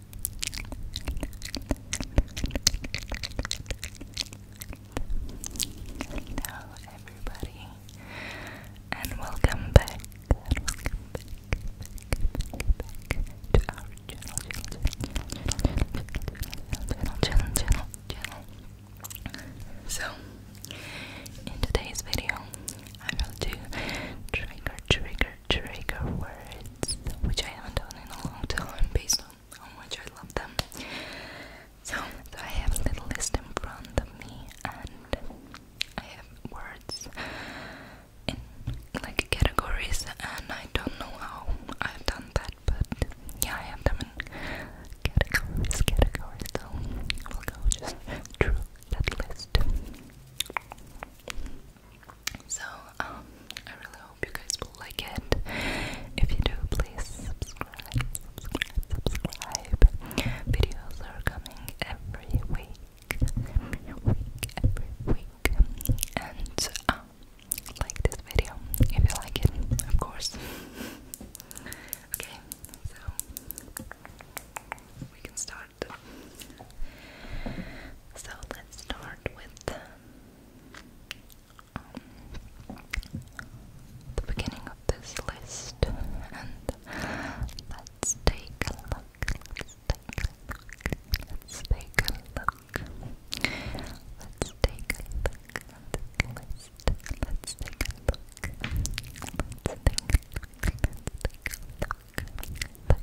Hello, everybody, and welcome back. to our channel. So, in today's video, I will do trigger, trigger, trigger words, which I haven't done in a long time, based on how much I love them. so I have a little list in front of me, and I have words in like categories, and I don't know how I've done that, but yeah, I have them in categories, categories. So we'll go just through that list. So, um, I really hope you guys like it. If you do, please subscribe, Videos are coming every week, week, every week. And, um, like this video if you like it, of course. okay, so we can start start. So let's start with the beginning of this list and let's take a look. Let's take a look. Let's take a look. Let's take a look Let's take a look. Let's take a look. Let's take a look.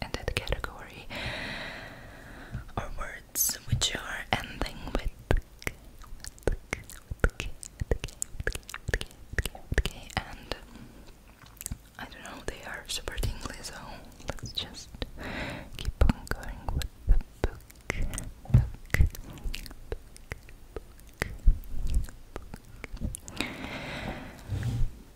in that category are words which are ending with and I don't know, they are super tingly, so let's just keep on going with book, book, book, book, book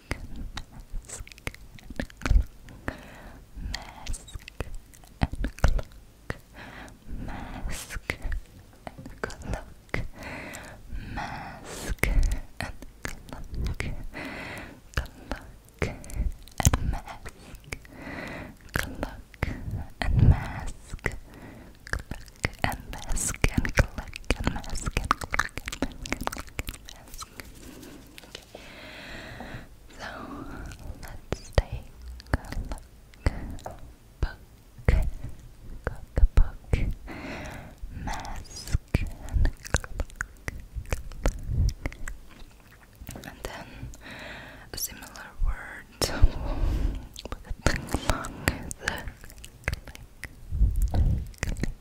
clock, mask, and clock, mask, and clock, mask, and clock, mask, and clock, clock, and mask, clock, and mask, clock, and mask, and clock, and mask, so let's take a look. Book, mask, and then a similar word with the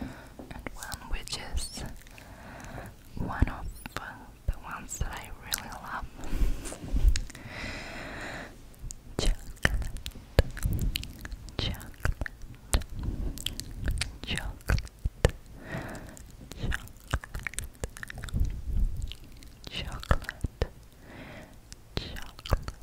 and one which is one of um, the ones that I really love chocolate, chocolate, chocolate, chocolate, chocolate, chocolate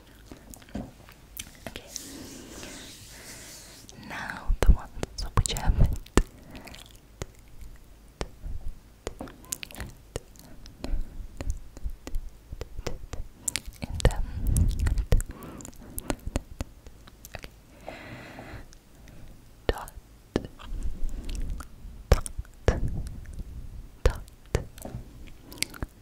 Okay. Now the ones which haven't. dot, dot, dot,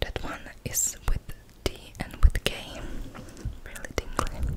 That one is with D and with K. Really tingly.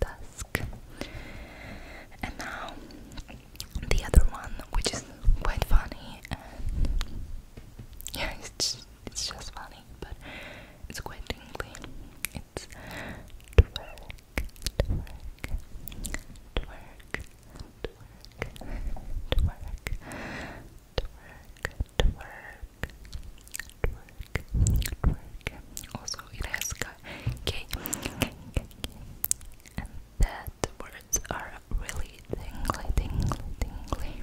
dusk. And now the other one, which is quite funny, yeah, it's it's just funny, but it's quite tingly. It's twerk, twerk, twerk, twerk, twerk, twerk, twerk, twerk, twerk. Also, it has K, K, K, K, and that words are really tingly, tingly, tingly.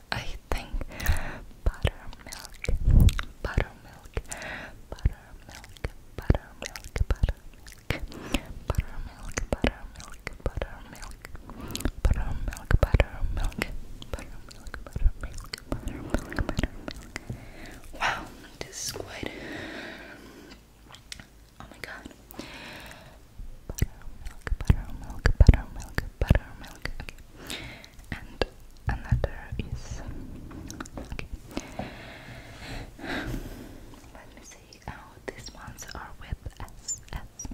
I think buttermilk, buttermilk, buttermilk, buttermilk, buttermilk, buttermilk, buttermilk, buttermilk, buttermilk, buttermilk, buttermilk, buttermilk, buttermilk, Wow, this is quite. Oh my god, Buttermilk, buttermilk, buttermilk, buttermilk. Okay. And another is okay. Let me see. Oh, these ones are with S S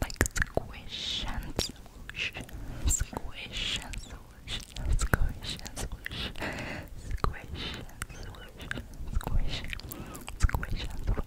like squish and swoosh, squish and swoosh, squish and swoosh, squish and swoosh, squish, squish and swoosh.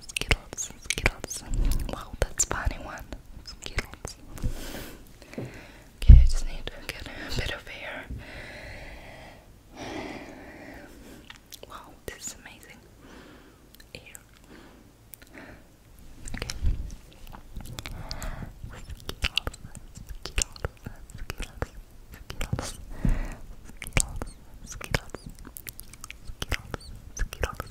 Skittles, Skittles. Wow, that's funny one. Skittles. Okay, I just need to get a bit of air. Wow, this is amazing. Skittles, Skittles, Skittles, Skittles, Skittles, Skittles, Skittles, Skittles, Skittles,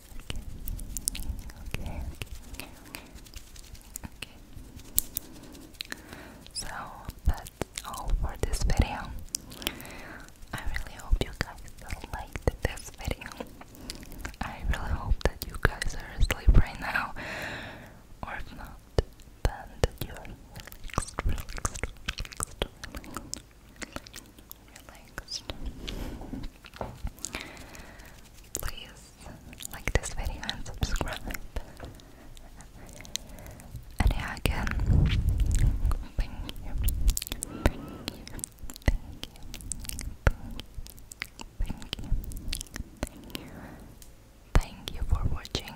okay, okay, okay, okay. So that's all for this video. I really hope you guys liked this video. I really hope that you guys are asleep right now, or if not, then you are Please like this video and subscribe. And yeah, again, thank you, thank you, thank you, thank you, thank you for watching